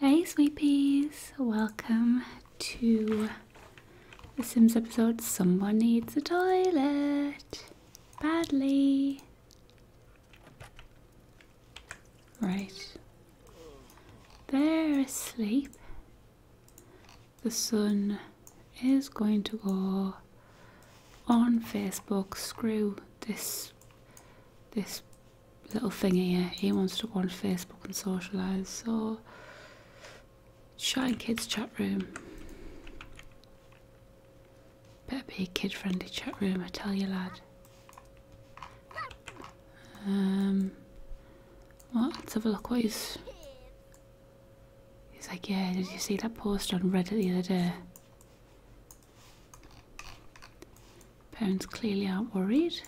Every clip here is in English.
Hey sweeties, welcome to The Sims episode Someone Needs a Toilet Badly. Right. They're asleep. The sun is going to go on Facebook. Screw this this little thingy, here, he wants to go on Facebook and socialise, so Shine Kids chat room. Better be a kid friendly chat room, I tell you lad. Um well let's have a look what he's He's like, yeah, did you see that post on Reddit the other day? Parents clearly aren't worried.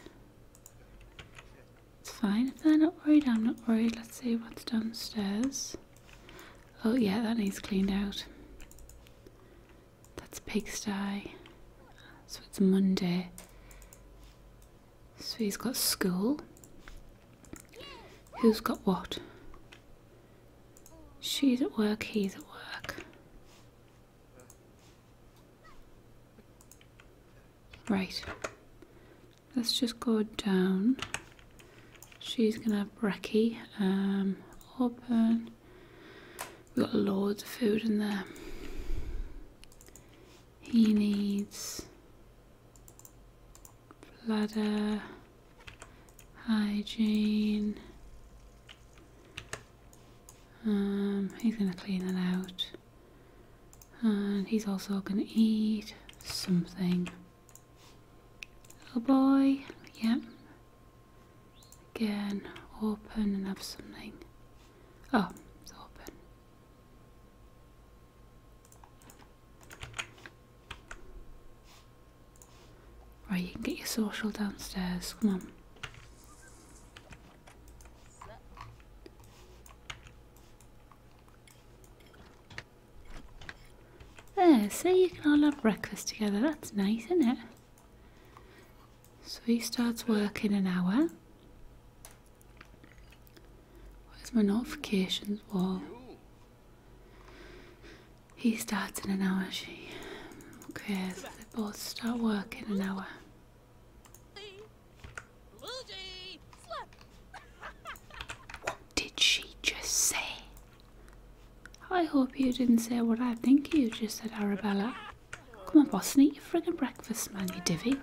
It's fine if they're not worried, I'm not worried. Let's see what's downstairs. Oh yeah, that needs cleaned out. That's pigsty. So it's Monday. So he's got school. Who's got what? She's at work, he's at work. Right. Let's just go down. She's gonna have brekkie. Um, open. We've got loads of food in there. He needs bladder, hygiene, um, he's going to clean it out. And he's also going to eat something. Little boy, yep. Again, open and have something. Oh, it's open. Right, you can get your social downstairs, come on. There, so you can all have breakfast together. That's nice, isn't it? So he starts work in an hour. Where's my notifications wall? He starts in an hour, she. Okay, so they both start work in an hour. What did she just say? I hope you didn't say what I think you just said, Arabella. Come on, boss, and eat your friggin' breakfast, man, you divvy.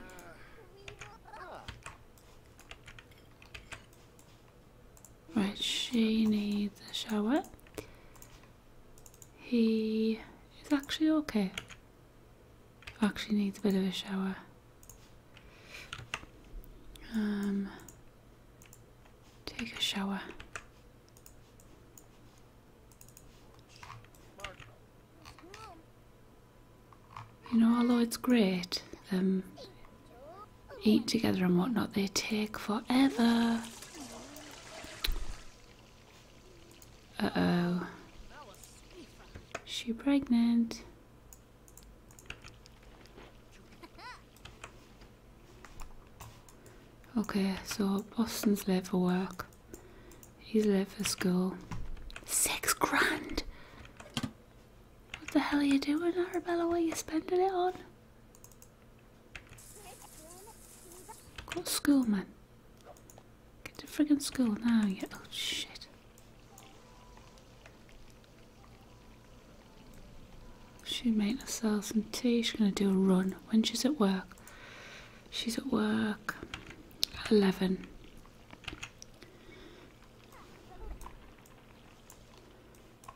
Right, she needs a shower. He is actually okay. Actually needs a bit of a shower. Um, take a shower. You know, although it's great, um, eat together and whatnot, they take forever. Uh-oh. She pregnant. Okay, so Boston's late for work. He's late for school. Six grand! What the hell are you doing, Arabella? What are you spending it on? Call school, man. Get to frigging school now. Yeah. Oh, shit. She made herself some tea. She's gonna do a run when she's at work. She's at work at 11.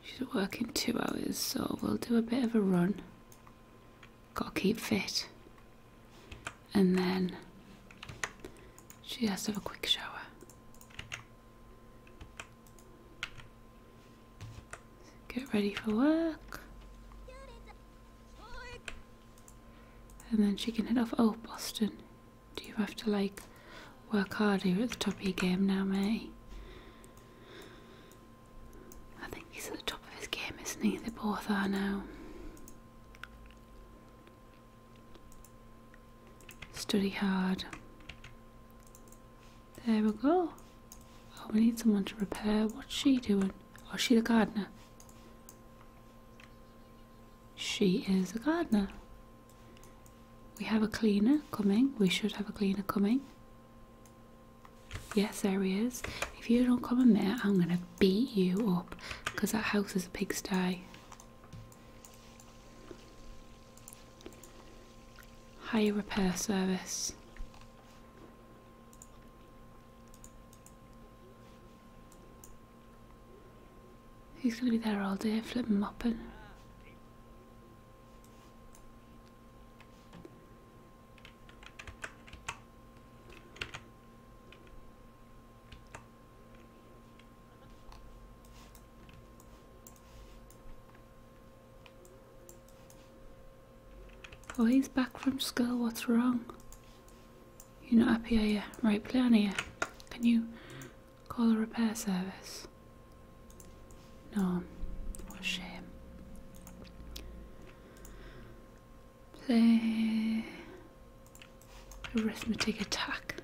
She's at work in two hours, so we'll do a bit of a run got to keep fit. And then she has to have a quick shower. Get ready for work. And then she can head off. Oh, Boston, do you have to like work hard here at the top of your game now, May? I think he's at the top of his game, isn't he? They both are now. Study hard. There we go. Oh, we need someone to repair. What's she doing? Oh, she's a gardener. She is a gardener. We have a cleaner coming. We should have a cleaner coming. Yes, there he is. If you don't come in there, I'm gonna beat you up because that house is a pigsty. Hire repair service. He's gonna be there all day, flipping mopping. Oh, he's back from school. What's wrong? You're not happy, are you? Right, play on here. Can you call a repair service? No. What shame play arithmetic attack.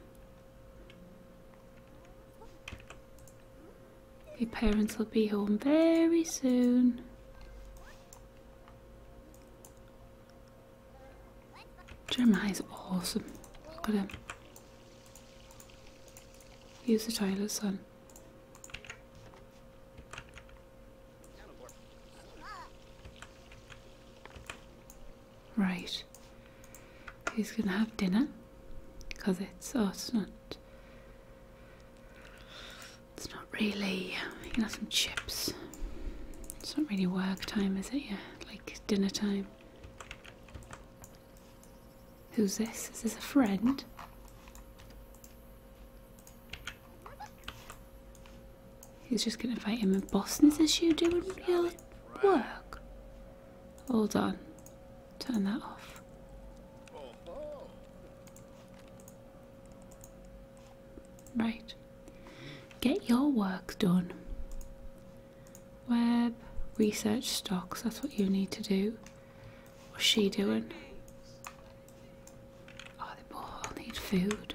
Your parents will be home very soon. Jeremiah's awesome. Look at him. Use the toilet, son. Right. Who's gonna have dinner? Because it's oh, it's not. It's not really. You can have some chips. It's not really work time, is it? Yeah, like dinner time. Who's this? Is this a friend? He's just going to fight him in Boston's issue doing your work. Hold on. Turn that off. Right. Get your work done. Web, research stocks, that's what you need to do. What's she doing? Oh, they all need food.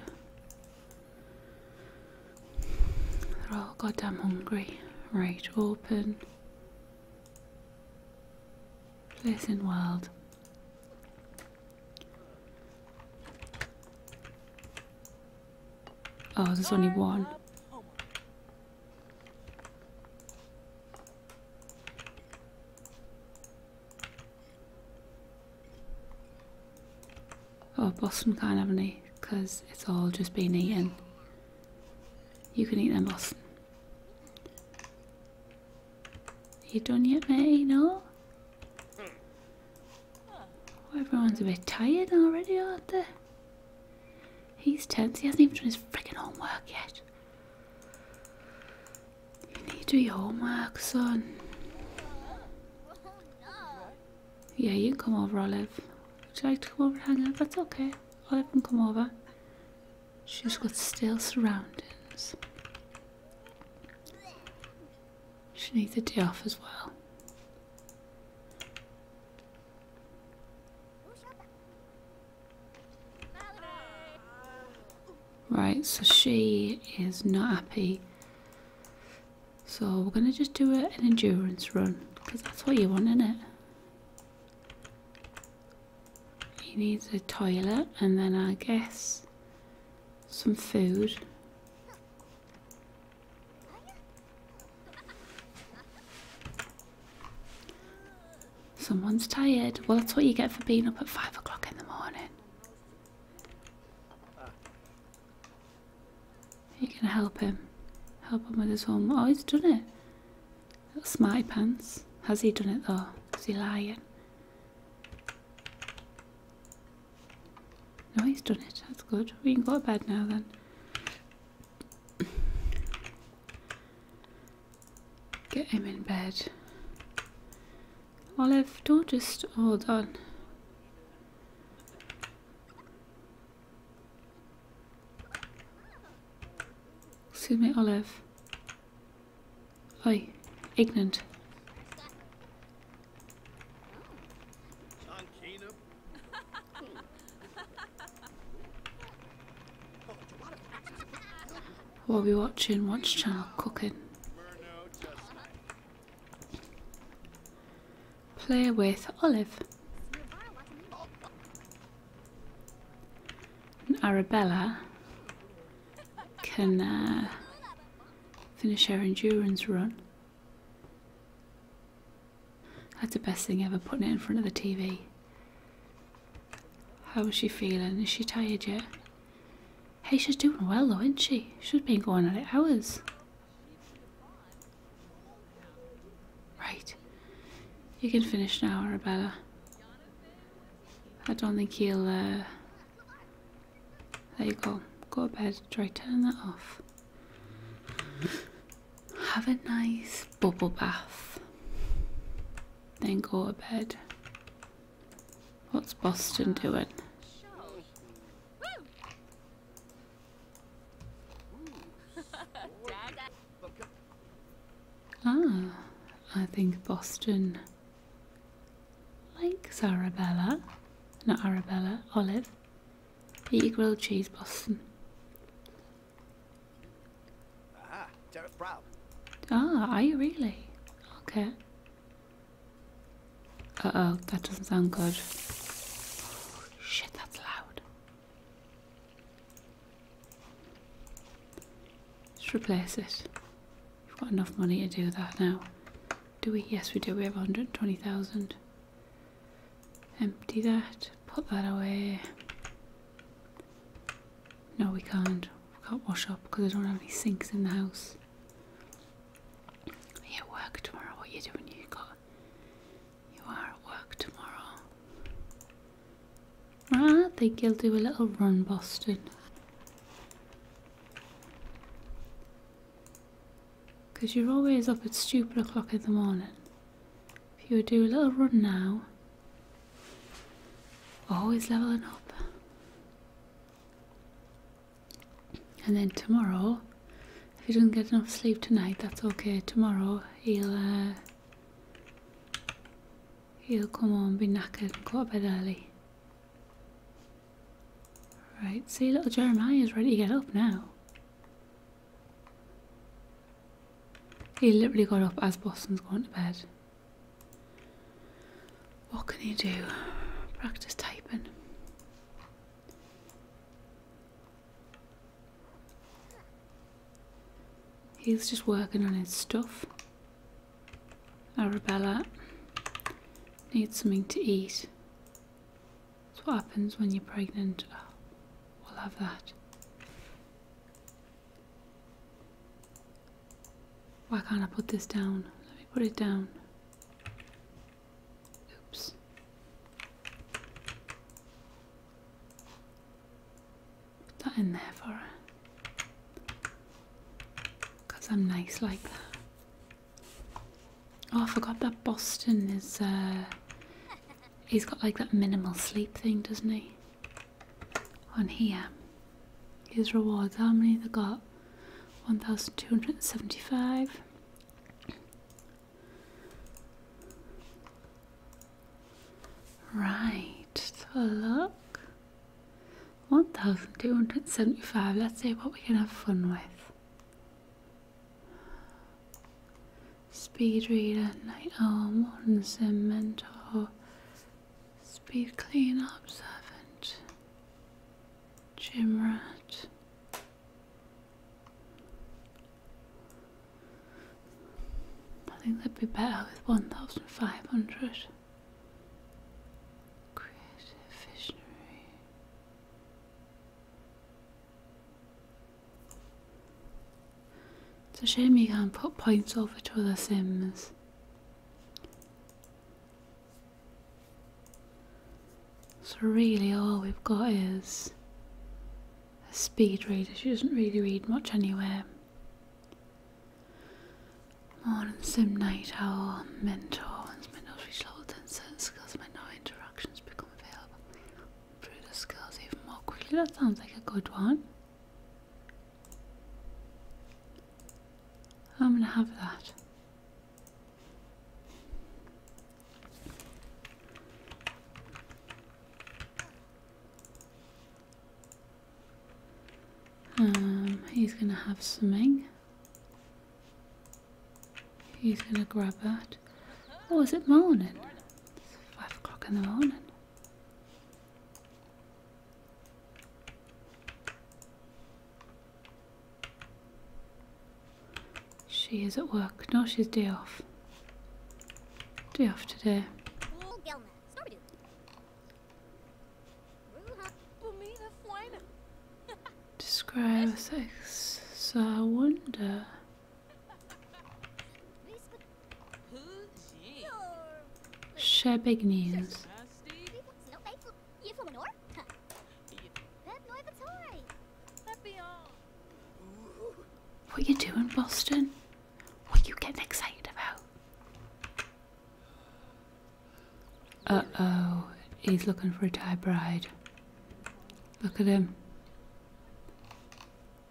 They're all goddamn hungry. Right, open. Place in world. Oh, there's only one. Oh, Boston can't have any because it's all just been eaten. You can eat them, Boston. Are you done yet, May? No? Oh, everyone's a bit tired already, aren't they? He's tense. He hasn't even done his freaking homework yet. You need to do your homework, son. Yeah, you come over, Olive. Would you like to come over and hang out? That's okay. Olive can come over. She's got stale surroundings. She needs a day off as well. Right, so she is not happy. So we're going to just do an endurance run because that's what you want, isn't it? He needs a toilet and then I guess some food. Someone's tired. Well, that's what you get for being up at five o'clock in the morning. You can help him. Help him with his homework. Oh, he's done it. Little smarty pants. Has he done it though? Is he lying? No, he's done it. That's good. We can go to bed now then. Get him in bed. Olive, don't just hold on. Excuse me, Olive. Oi, ignorant. we are we watching? Watch channel cooking. Play with Olive. And Arabella can uh, finish her endurance run. That's the best thing ever, putting it in front of the TV. How is she feeling? Is she tired yet? Hey, she's doing well though, isn't she? She's been going at it hours. Right. You can finish now, Arabella. I don't think he'll, uh, There you go. Go to bed. Try turning that off. Have a nice bubble bath. Then go to bed. What's Boston doing? Ah, I think Boston likes Arabella. Not Arabella, Olive. Eat grilled cheese, Boston. Ah, Derek Brown. Ah, are you really? Okay. Uh oh, that doesn't sound good. Shit, that's loud. Just replace it. We've got enough money to do that now. Do we? Yes, we do. We have 120,000. Empty that. Put that away. No, we can't. We can't wash up because I don't have any sinks in the house. at work tomorrow? What you doing? You got. You are at work tomorrow. I think you'll do a little run, Boston. Because you're always up at stupid o'clock in the morning. If you would do a little run now, Always leveling up. And then tomorrow, if he doesn't get enough sleep tonight, that's okay. Tomorrow he'll uh, he'll come home, be knackered, and go to bed early. Right, see, little Jeremiah is ready to get up now. He literally got up as Boston's going to bed. What can he do? Practice typing. He's just working on his stuff. Arabella needs something to eat. That's what happens when you're pregnant. Oh, we'll have that. Why can't I put this down? Let me put it down. Oops. Put that in there for Because I'm nice like that. Oh, I forgot that Boston is, uh, he's got like that minimal sleep thing, doesn't he? on here. His rewards, how many they got? 1275. Right, look. 1275. Let's see what we can have fun with. Speed reader, night owl, modern sim Speed clean, servant, gym rat. I think that would be better with 1,500. Creative visionary. It's a shame you can't put points over to other sims. So really all we've got is a speed reader. She doesn't really read much anywhere. Morning sim night Our mentor, once my reach level 10 certain skills, my no interactions become available. Improve the skills even more quickly. That sounds like a good one. I'm going to have that. Um, he's going to have something. He's going to grab that. What oh, was it morning? five o'clock in the morning. She is at work. No, she's day off. Day off today. Describe a sex. So I wonder. Share big news. What are you doing, Boston? What are you getting excited about? Uh oh, he's looking for a Thai bride. Look at him.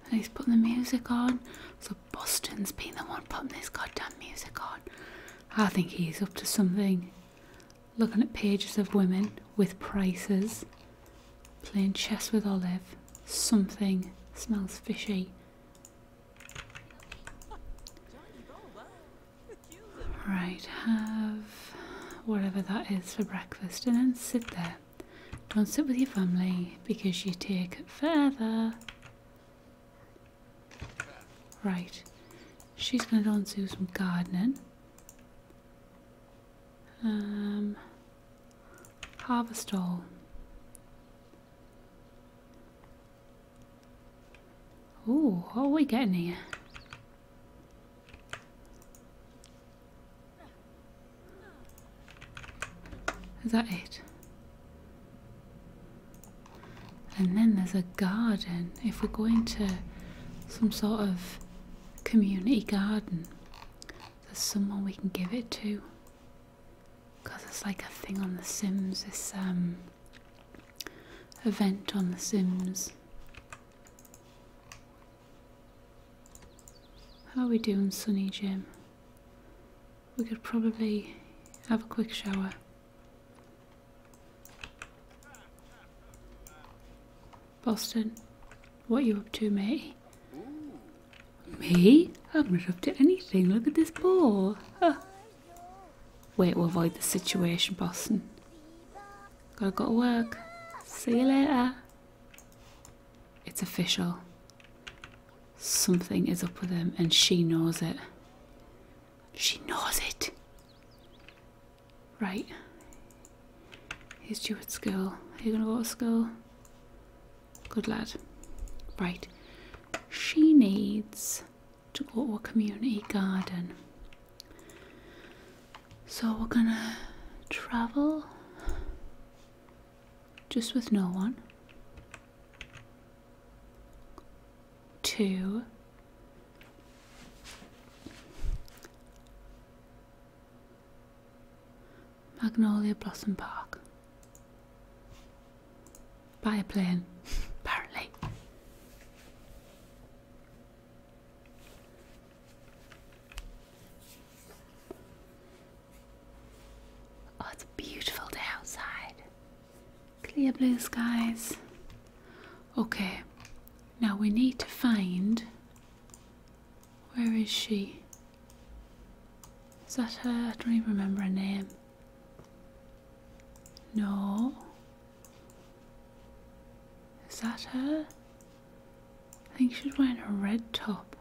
he's putting the music on. So Boston's been the one putting this goddamn music on. I think he's up to something. Looking at pages of women with prices, playing chess with Olive. Something smells fishy. Right, have whatever that is for breakfast and then sit there. Don't sit with your family because you take it further. Right. She's going to go and do some gardening. Um, harvest all. Ooh, what are we getting here? Is that it? And then there's a garden. If we're going to some sort of community garden, there's someone we can give it to. Because it's like a thing on The Sims, this um, event on The Sims. How are we doing, Sunny Jim? we could probably have a quick shower. Boston, what are you up to, mate? Me? I'm not up to anything. Look at this ball. Wait, we'll avoid the situation, Boston. Gotta go to work. See you later. It's official. Something is up with him and she knows it. She knows it. Right. He's due at school. Are you going to go to school? Good lad. Right. She needs to go to a community garden. So we're going to travel just with no one two, Magnolia Blossom Park. Buy a plane, apparently. Oh, it's a beautiful day outside. Clear blue skies. Okay, now we need to find. Where is she? Is that her? I don't even remember her name. No. Is that her? I think she's wearing a red top.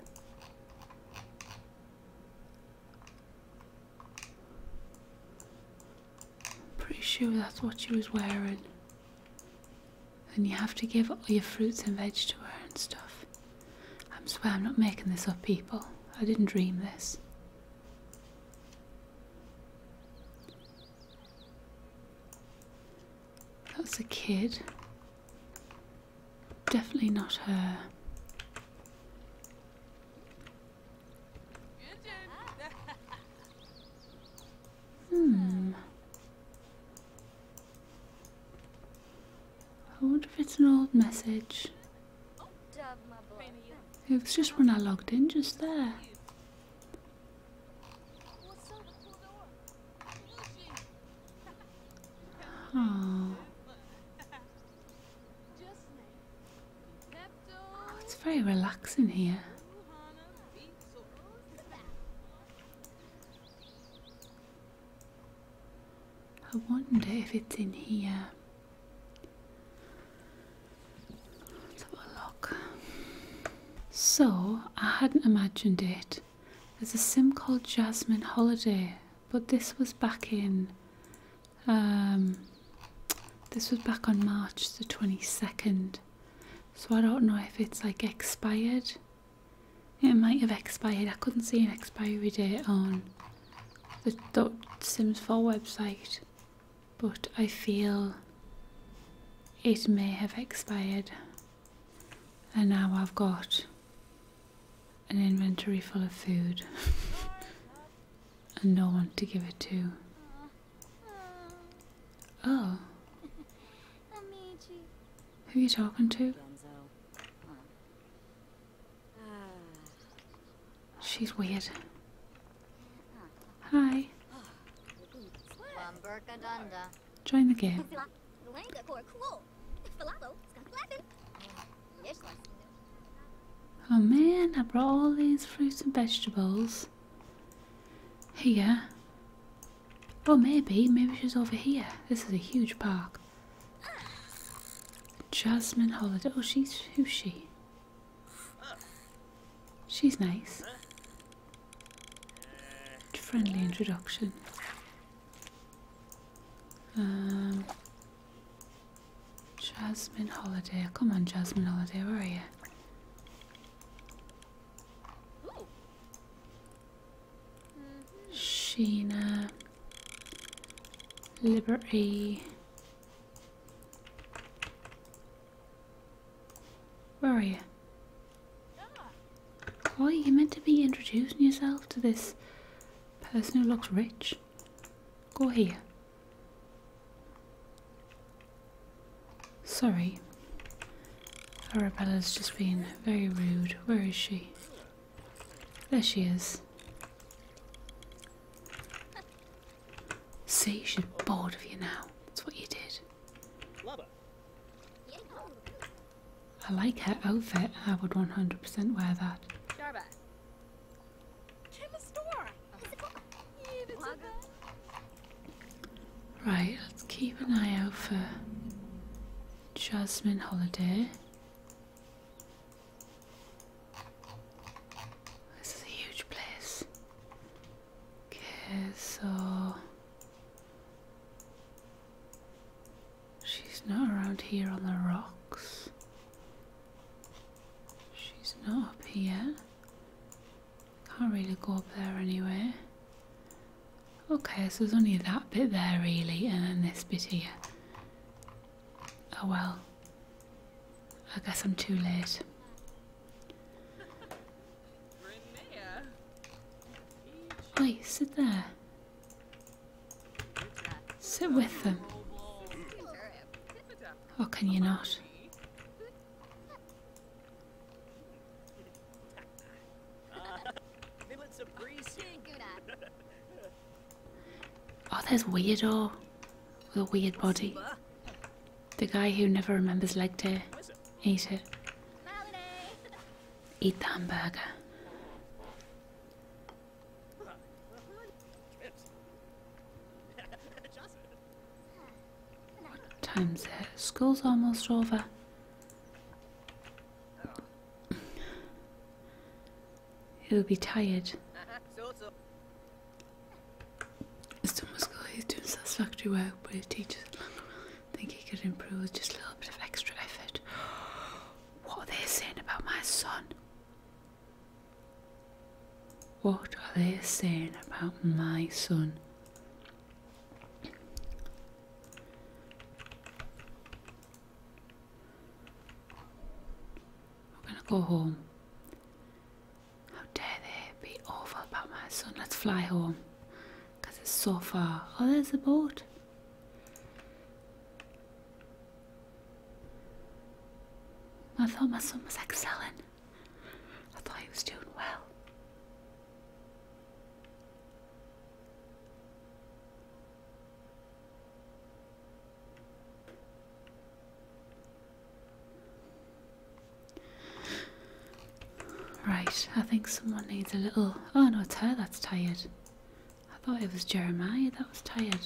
Pretty sure that's what she was wearing. And you have to give all your fruits and vegetables and stuff. I swear I'm not making this up, people. I didn't dream this. That's a kid. Definitely not her. Hmm. I wonder if it's an old message. It was just when I logged in, just there. Oh. Oh, it's very relaxing here. I wonder if it's in here. Let's have a look. So, I hadn't imagined it. There's a sim called Jasmine Holiday, but this was back in um, this was back on March the 22nd, so I don't know if it's like expired. It might have expired. I couldn't see an expiry date on the Sims 4 website, but I feel it may have expired. And now I've got an inventory full of food. and no one to give it to. Oh. Who are you talking to? She's weird. Hi. Join the game. Oh man, I brought all these fruits and vegetables. Here. Well, maybe, maybe she's over here. This is a huge park. Jasmine Holiday. Oh, she's, who's she? She's nice. Friendly introduction. Um, Jasmine Holiday. Come on, Jasmine Holiday, where are you? Sheena, Liberty. Where are you? Oh, you meant to be introducing yourself to this person who looks rich. Go here. Sorry. Arabella's just been very rude. Where is she? There she is. See, she's bored of you now. That's what you did. I like her outfit. I would 100% wear that. Right, let's keep an eye out for Jasmine Holiday. This is a huge place. Okay, so she's not around here on the rocks. She's not up here. Can't really go up there anyway. Okay, so there's only that bit there really, and then this bit here. Oh well. I guess I'm too late. Oi, sit there. Sit with them. Or can you not? Oh, there's Weirdo with a weird body. The guy who never remembers leg day. Eat it. Eat the hamburger. What time's it? School's almost over. He'll be tired. His done he's doing satisfactory work, but his teachers think he could improve with just a little bit of extra effort. What are they saying about my son? What are they saying about my son? We're gonna go home. How dare they be awful about my son? Let's fly home because it's so far. Oh, there's a boat. I thought my son was excelling. I thought he was doing well. Right, I think someone needs a little. Oh no, it's her that's tired. I thought it was Jeremiah that was tired.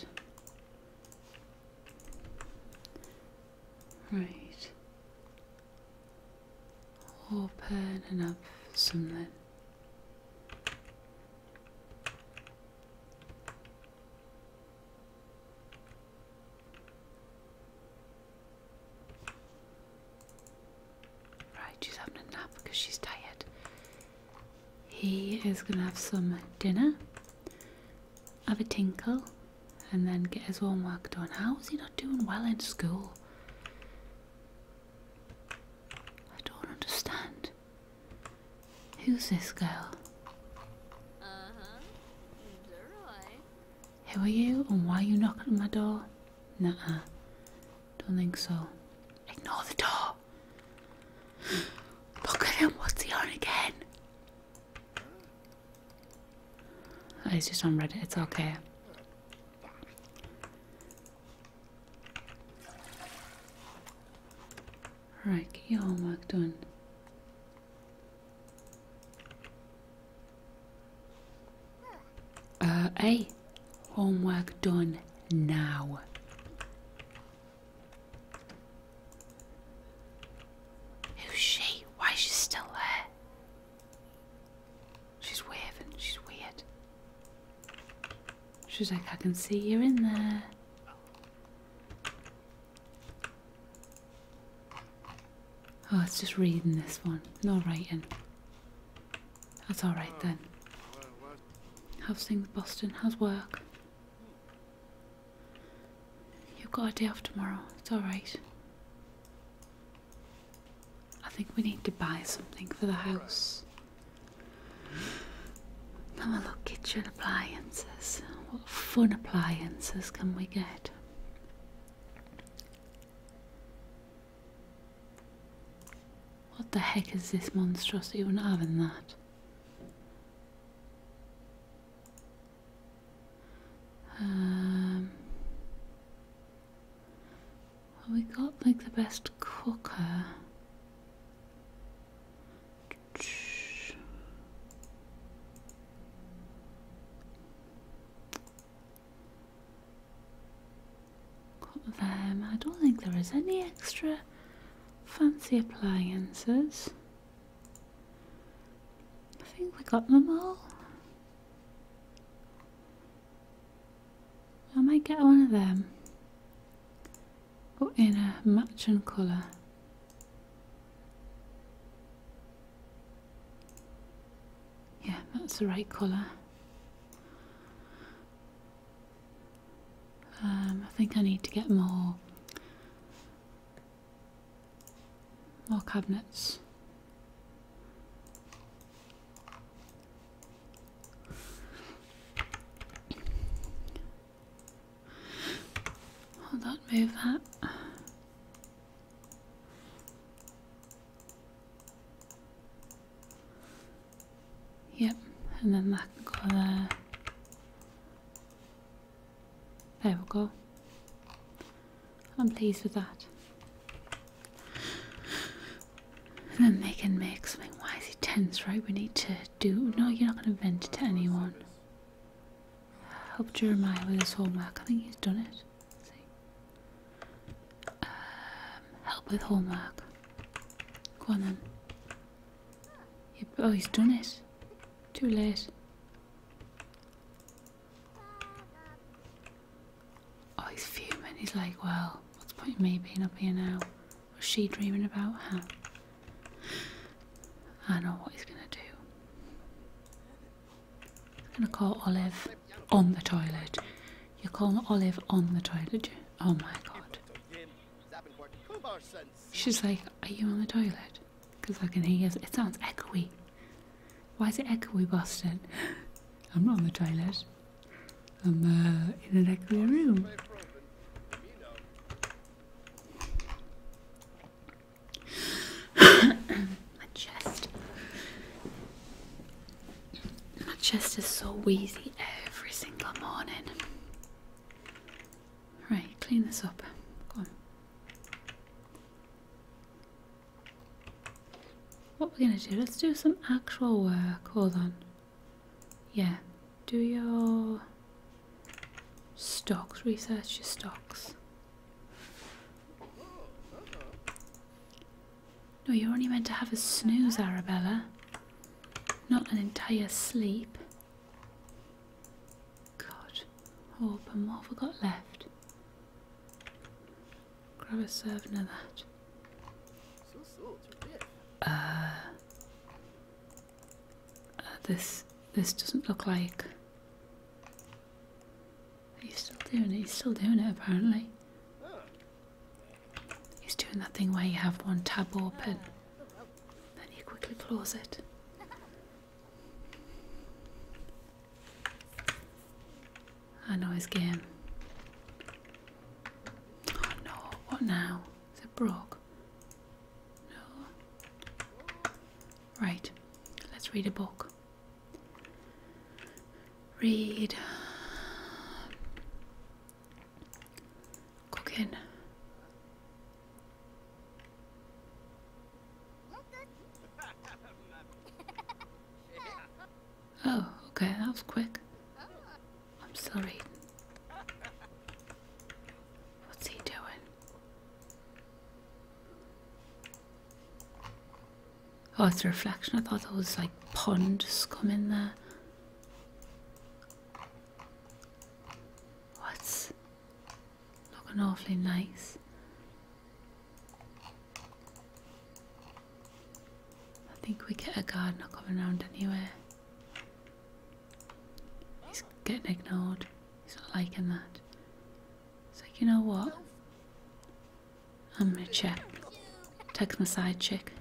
Right. Open and up something. Right, she's having a nap because she's tired he is going to have some dinner, have a tinkle, and then get his homework done. How is he not doing well in school? I don't understand. Who's this girl? Uh-huh. Who are you and why are you knocking at my door? Nuh-uh. Don't think so. Ignore the door. Look at him. What's he on again? Oh, he's just on Reddit. It's okay. Right, homework done. Uh, hey, homework done now. Who's she? Why is she still there? She's waving, she's weird. She's like, I can see you're in there. Oh, it's just reading this one. No writing. That's alright then. How's things, Boston? How's work? You've got a day off tomorrow. It's alright. I think we need to buy something for the house. Now right. look, kitchen appliances. What fun appliances can we get? What the heck is this monstrosity? We're having that. Um, we got like the best cooker. them. I don't think there is any extra Fancy appliances. I think we got them all. I might get one of them. But in a matching colour. Yeah, that's the right colour. Um, I think I need to get more more cabinets. Hold on, move that. Yep, and then that go there. There we go. I'm pleased with that. then they can make something. Why is he tense, right? We need to do. No, you're not going to vent to anyone. Help Jeremiah with his homework. I think he's done it. see. Um, help with homework. Go on then. Oh, he's done it. Too late. Oh, he's fuming. He's like, well, what's the point of me being up here now? What's she dreaming about, huh? I know what he's going to do. He's going to call Olive on the toilet. you call Olive on the toilet, Oh my god. She's like, Are you on the toilet? Because I can hear it. It sounds echoey. Why is it echoey, Boston? I'm not on the toilet. I'm uh, in an echoey room. my chest. My chest is so wheezy every single morning. Right, clean this up. Go on. What we're gonna do, let's do some actual work. Hold on. Yeah. Do your stocks, research your stocks. No, you're only meant to have a snooze, Arabella. Not an entire sleep. God. Oh, but what have I got left? Grab a servant of that. Uh, uh this this doesn't look like. He's still doing it. He's still doing it. Apparently, he's doing that thing where you have one tab open then he quickly claws it. I know his game. Oh, no, what now? Is it No. Right, let's read a book. Read. Gucken. Oh, okay, that was quick. I'm sorry. What's he doing? Oh, it's a reflection. I thought that was like pond scum in there. What's looking awfully nice? I think we get a gardener coming around anywhere. He's getting ignored. He's not liking that. It's like, you know what? I'm gonna check. Text my side chick.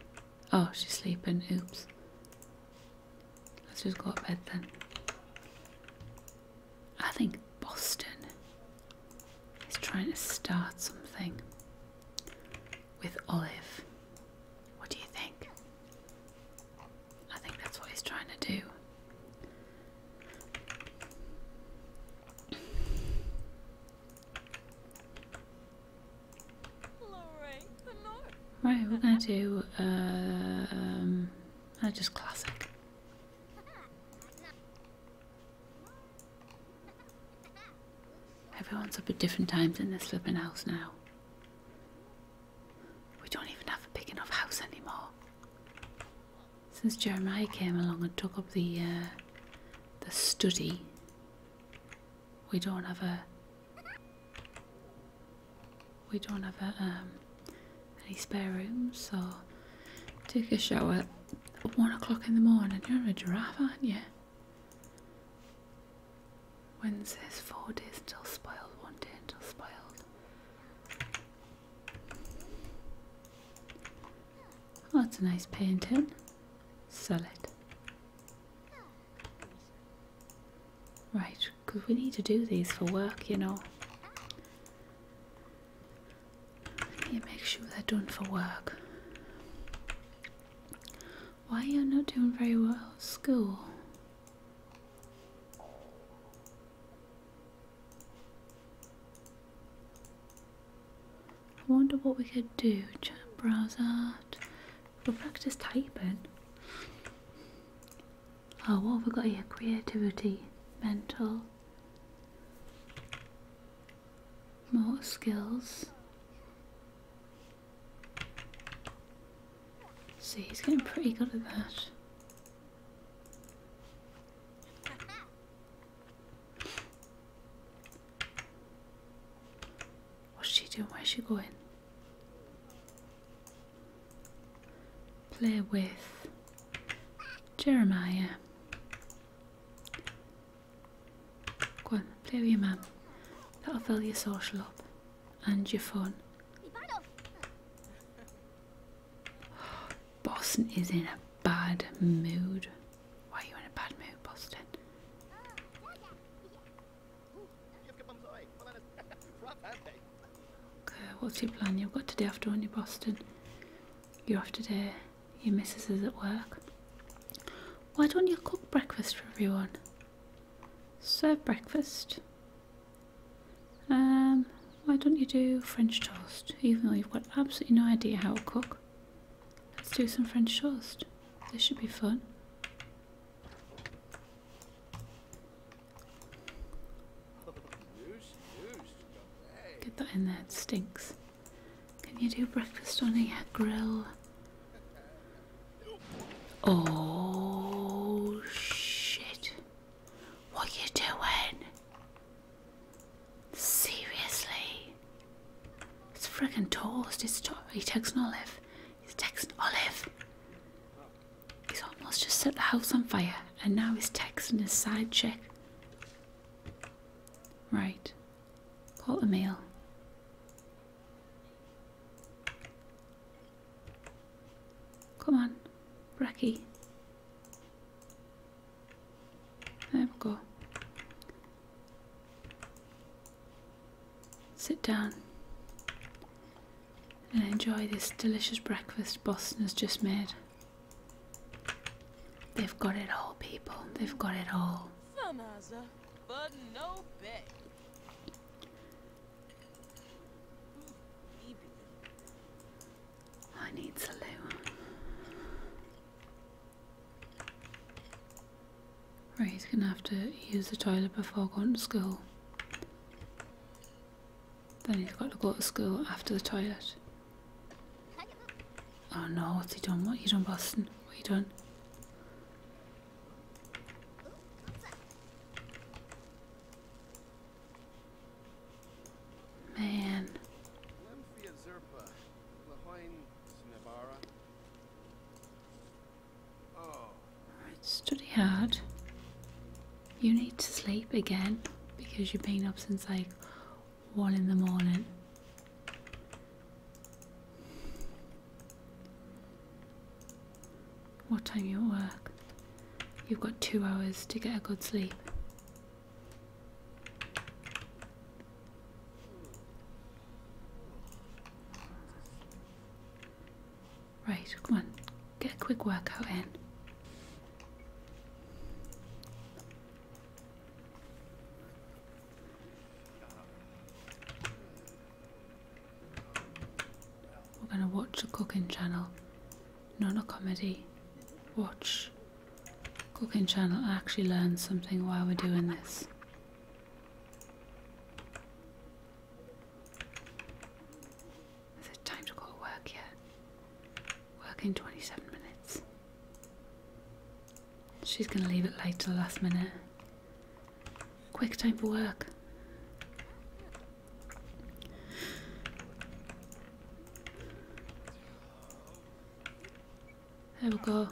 Oh, she's sleeping. Oops. Let's just go to bed then. I think Boston is trying to start something with Olive. What do you think? I think that's what he's trying to do. Right, we're going to do, uh, um, uh, just classic. Everyone's up at different times in this flipping house now. We don't even have a big enough house anymore. Since Jeremiah came along and took up the, uh, the study, we don't have a we don't have a, um, any spare rooms, so take a shower at one o'clock in the morning. You're a giraffe, aren't you? Wednesdays, four days until spoiled, one day until spoiled. that's a nice painting. Solid. Right, because we need to do these for work, you know. You make sure they're done for work. Why are you not doing very well at school? I wonder what we could do. Chat browse art. But practice typing. Oh, what have we got here? Creativity, mental, more skills. See, he's getting pretty good at that. What's she doing? Where's she going? Play with Jeremiah. Go on, play with your mum. That'll fill your social up and your fun. Boston is in a bad mood. Why are you in a bad mood, Boston? Okay, what's your plan? You've got today after on you Boston. You're off today. Your missus is at work. Why don't you cook breakfast for everyone? Serve breakfast. Um, why don't you do French toast? Even though you've got absolutely no idea how to cook. Let's do some French toast. This should be fun. Get that in there, it stinks. Can you do breakfast on a grill? Oh shit. What are you doing? Seriously? It's friggin' toast. It's to he takes an olive. He's texting Olive. He's almost just set the house on fire, and now he's texting his side chick. Right. Call a mail. Come on, Bracky. There we go. Sit down and enjoy this delicious breakfast Boston has just made. They've got it all, people. They've got it all. I need to loo. Right, he's gonna have to use the toilet before going to school. Then he's got to go to school after the toilet. Oh no, what's he done? What you done, Boston? What you done? Man. Alright, study hard. You need to sleep again because you've been up since like 1 in the morning. What time you work? You've got two hours to get a good sleep. Right, come on. Get a quick workout in. We're going to watch a cooking channel, not a comedy. Watch cooking channel. I actually learned something while we're doing this. Is it time to go to work yet? Work in 27 minutes. She's gonna leave it late till the last minute. Quick time for work. There we go.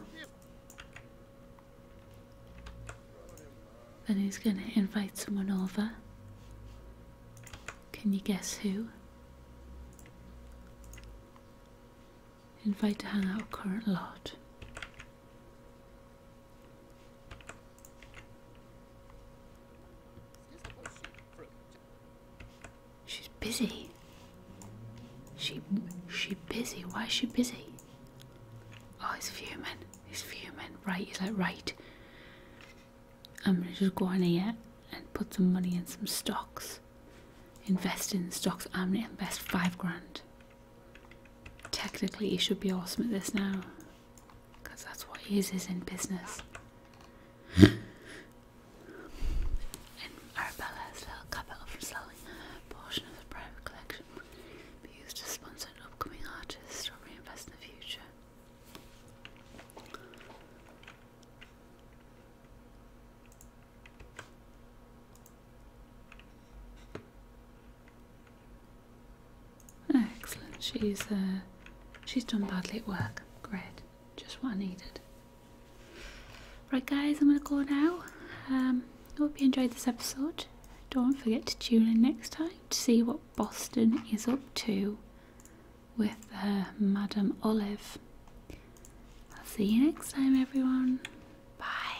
Then he's going to invite someone over. Can you guess who? Invite to hang out current lot. She's busy. She she busy. Why is she busy? Oh, it's fuming. He's fuming. Right, he's like, right. I'm gonna just go on here and put some money in some stocks. Invest in stocks. I'm gonna invest five grand. Technically, he should be awesome at this now, because that's what he is, is in business. and Arabella's little capital from selling a portion of the private collection be used to sponsor an upcoming artist or reinvest in the future. Excellent. She's uh, she's done badly at work. Great. Just what I needed. Right, guys, I'm gonna go now. Um, hope you enjoyed this episode. Don't forget to tune in next time to see what Boston is up to with uh, Madame Olive. I'll see you next time, everyone. Bye.